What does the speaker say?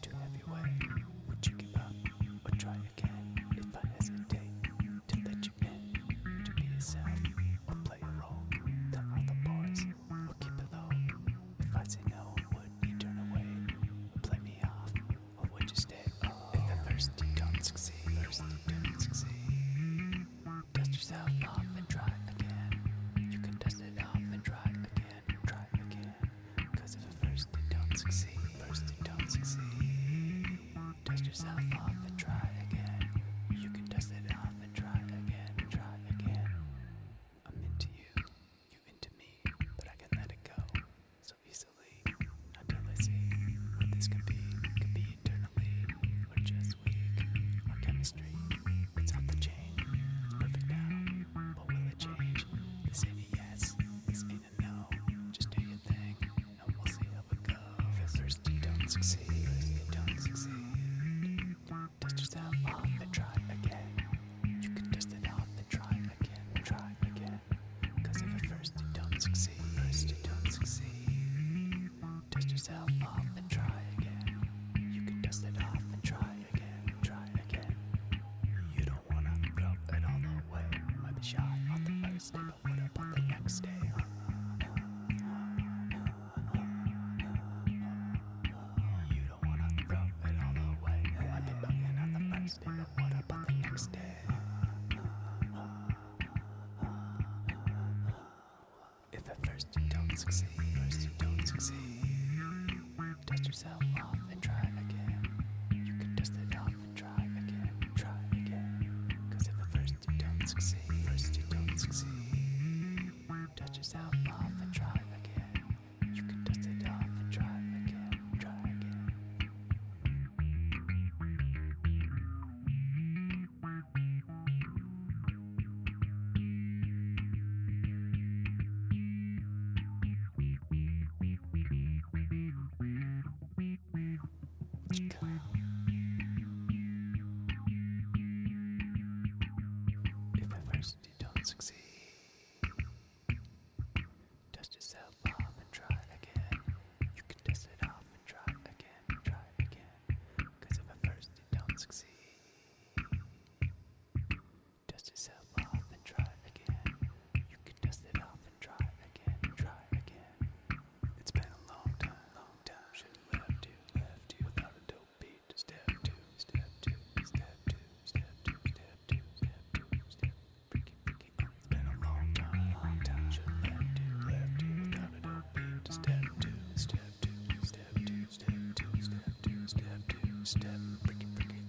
to everyone. Would you give up or try again if I hesitate to let you in? To be yourself or play a role the other boys will keep it low. If I say no, would you turn away or play me off, or would you stay? Oh. If at first you don't succeed, first don't succeed, dust yourself off and try again. You can dust it off and try again try again. Cause if at first it don't succeed, first it don't succeed. Dust yourself off and try again. You can dust it off and try again, try again. I'm into you, you into me, but I can let it go so easily. Until I see what this could be, could be eternally, or just this week. Our chemistry, it's off the chain. It's perfect now, but will it change? This ain't a yes, it's ain't a no. Just do your thing, and we'll see how it goes. first thirsty, don't succeed. don't succeed. Dust yourself off and try again. You can dust it off and try again, try again. if at first you don't succeed, first you don't succeed. Dust yourself off and try again. You can dust it off and try again, try again. You don't wanna throw it all away. Might be shy on the first day, but what about the next day? You don't wanna throw it all away. Might be bugging on the first day, but what about the next day? If at first you don't succeed, first you don't succeed. Dust yourself off and try again. You can dust it off and try again, try again. if at first you don't succeed, first you don't succeed. Dust yourself off and try again. You can dust it off and try again, try again. If at first you don't succeed, Dust yourself off and try again. You can dust it off and try again, try again. Cause if at first you don't succeed, dust yourself off and try again. You can dust it off and try again, try again. It's been a long time, long time. Should left you, left you without a dope beat. Step step two, step two, step two, step two, step two, step two, step two. Freaky, freaky, oh, it's been a long time, long time. Should left to, left to, step two, step two, step two, step two, step two, step two, step freaky, freaky,